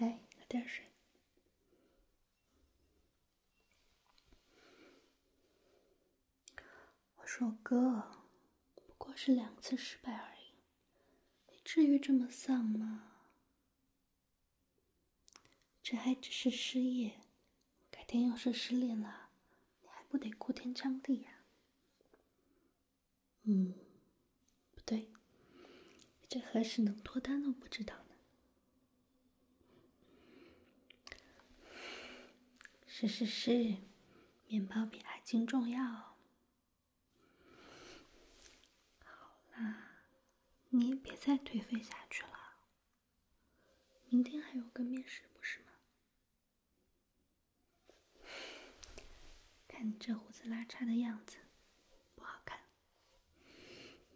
来，喝点水。我说哥，不过是两次失败而已，你至于这么丧吗？这还只是失业，改天要是失恋了，你还不得哭天抢地呀？嗯，不对，这何时能脱单都不知道呢？是是是，面包比爱情重要。好啦。你别再颓废下去了。明天还有个面试，不是吗？看你这胡子拉碴的样子，不好看。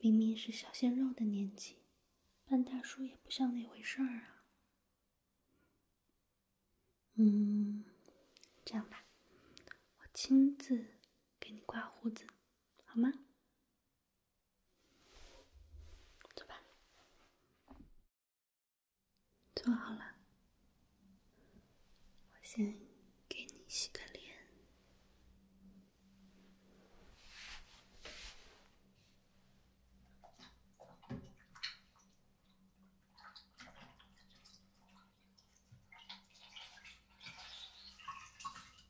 明明是小鲜肉的年纪，扮大叔也不像那回事儿啊。嗯，这样吧，我亲自给你刮胡子，好吗？走吧，做好了，我先给你洗个脸。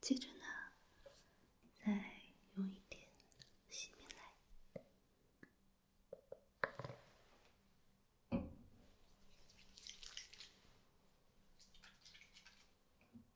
接着呢，再用一点洗面奶。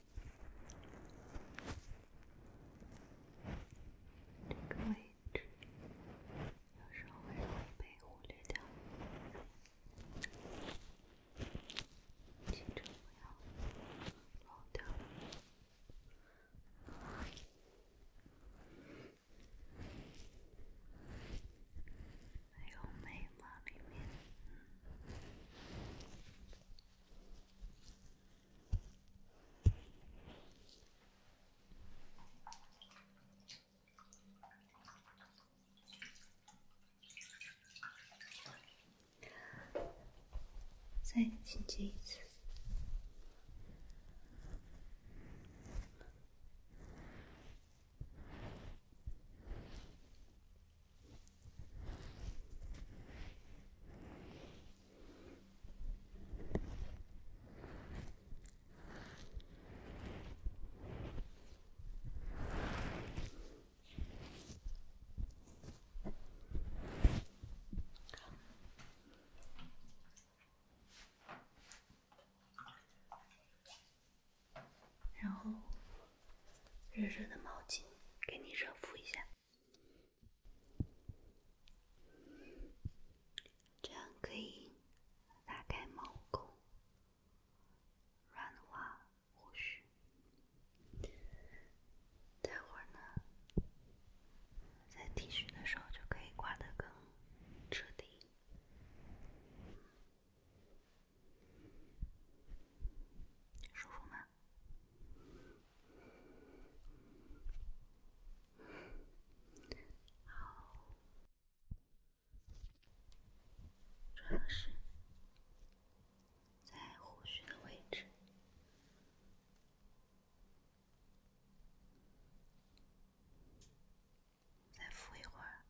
这个位置有时候会被忽略掉，其实我要漏掉，还有眉毛里面。再进去一次。然后，热热的毛巾给你热敷一下。这样可以打开毛孔，软化胡须。待会儿呢，在剃须的时候就可以刮得更彻底。舒服吗？好，主要是在胡须的位置，再敷一会儿。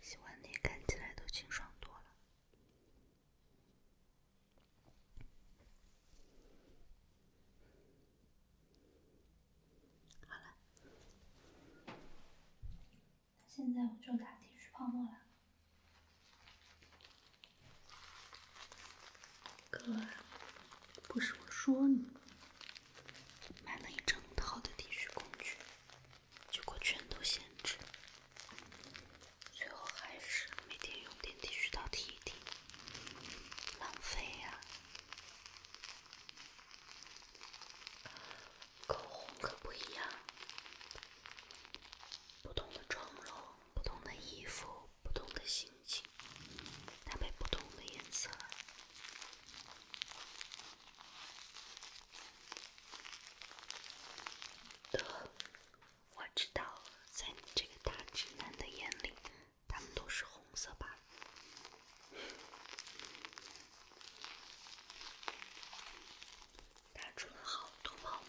喜欢你，看起来都清爽多了。好了，现在我就打剃须泡沫了。哥，不是我说你。买了一整套的剃须工具，结果全都闲置，最后还是每天用点剃须刀剃一剃，浪费呀！口红可不一样，不同的妆容，不同的衣服，不同的形。它被不同的颜色。的，我知道，在你这个大直男的眼里，他们都是红色吧？打出了好多泡沫。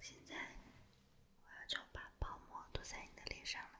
现在，我要就把泡沫涂在你的脸上了。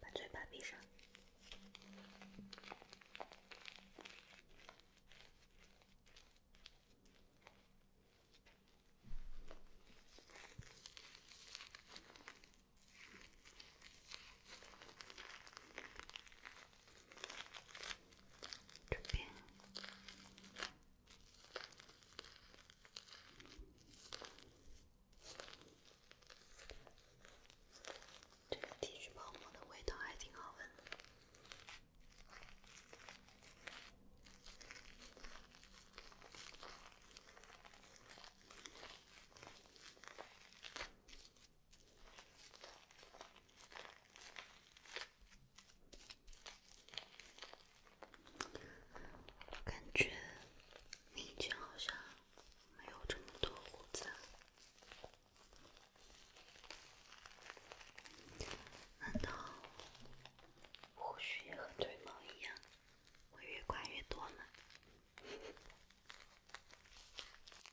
把嘴巴闭上。这边这个剃须泡沫的味道还挺好闻的。我感觉你以前好像没有这么多胡子，难道胡须也和腿毛一样，会越刮越多吗？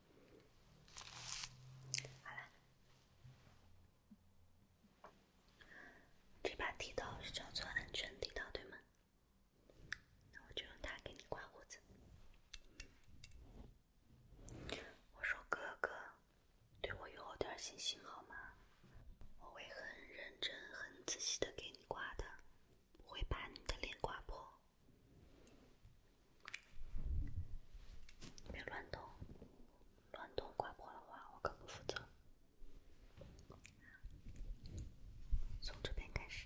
好了，这把剃刀是叫做安全剃刀，对吗？那我就用它给你刮胡子。我说哥哥，对我有点信心好吗？我会很认真、很仔细的给你刮的，不会把你的脸刮破。别乱动，乱动刮破的话，我可不负责。从这边开始。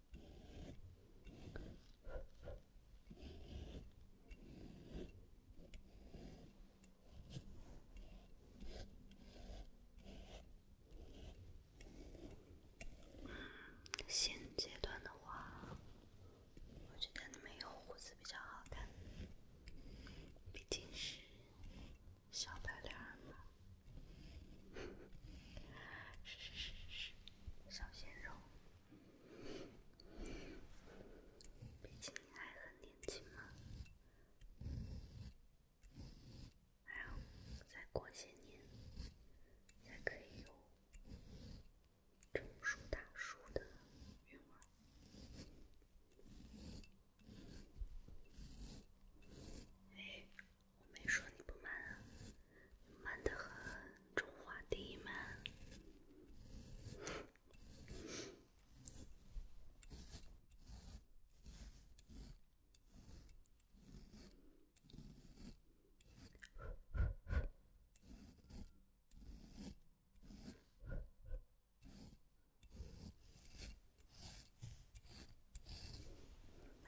嗯，现阶段的话，我觉得没有胡子比较好看，毕竟是小白脸嘛，是是是是是，小鲜肉。毕竟还很年轻嘛，还要再过些年才可以有成熟大叔的韵味。哎，我没说你不满啊。慢的很，中华第一慢。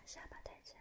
下巴抬起来。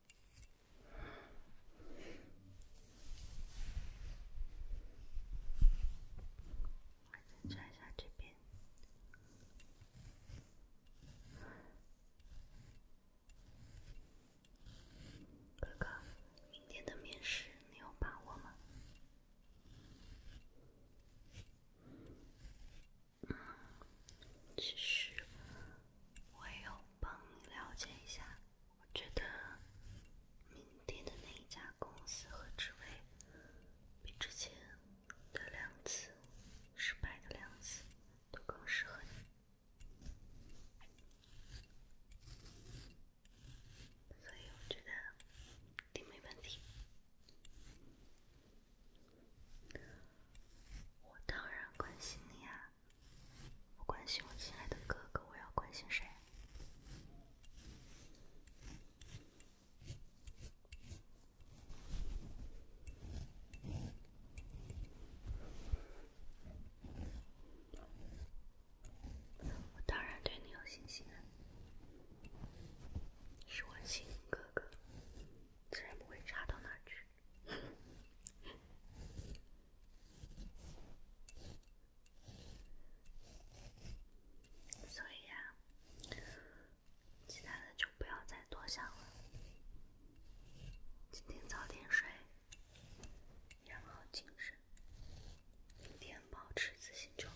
再看一下这边。哥哥，明天的面试你有把握吗？嗯，其实我也有帮你了解一下。我觉得明天的那一家公司和职位，比之前的两次失败的两次都更适合你，所以我觉得一定没问题。我当然关心你呀。我关心我亲爱的哥哥，我要关心谁？我当然对你有信心啊，是我亲哥哥，自然不会差到哪去。所以啊，其他的就不要再多想了。今天早点睡，养好精神，明天保持自信就好。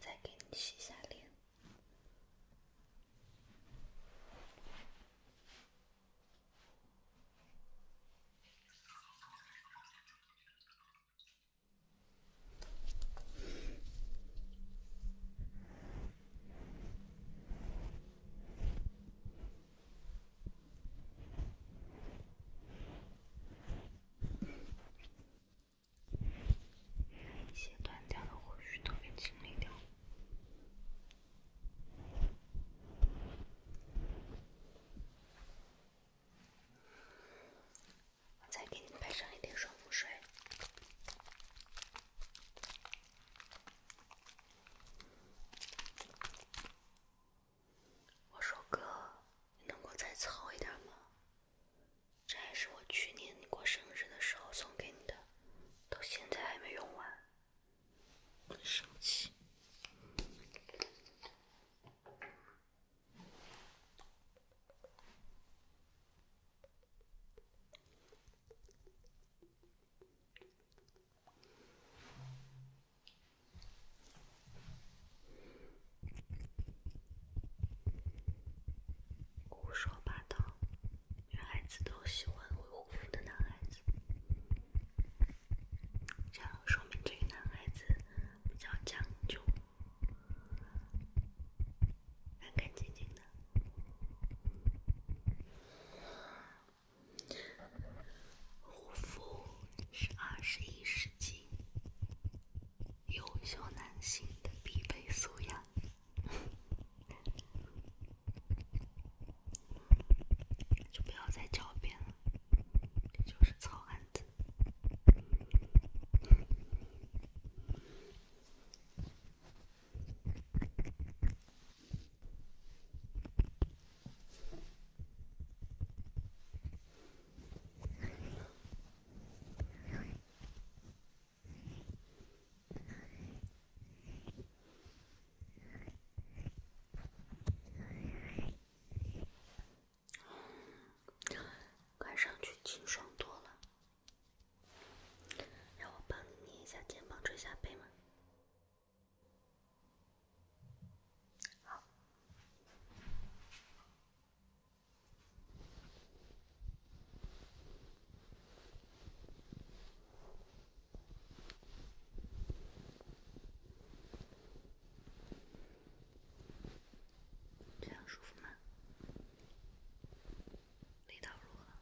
再给你洗下脸。一些断掉的灰絮都被清理掉。再给你拍上一点爽肤水。我说哥，你能够再糙一点吗？这还是我去年过生日的时候送给你的，到现在还没用完。别生气。胡说八道！女孩子都喜欢会护肤的男孩子，这样说明这个男孩子比较讲究。干干净净的护肤是二十一世纪优秀男性的必备素养，就不要再狡辩了，你就是糙汉子。看上去清爽多了。让我帮你一下肩膀、捶一下背吗？这样舒服吗？力道如何？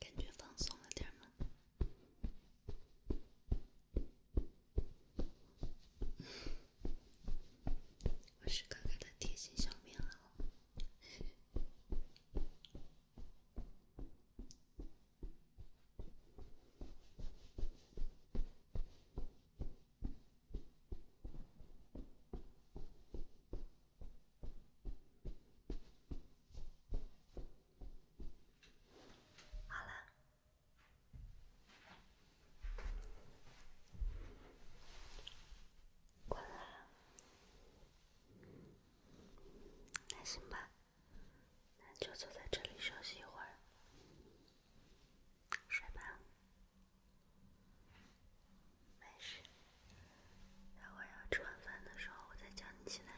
感觉放松了点儿吗？我是哥哥的贴心小棉袄。好了。困了，那行吧，那就坐在这里休息一会儿，睡吧，没事。等我要吃完饭的时候，我再叫你起来。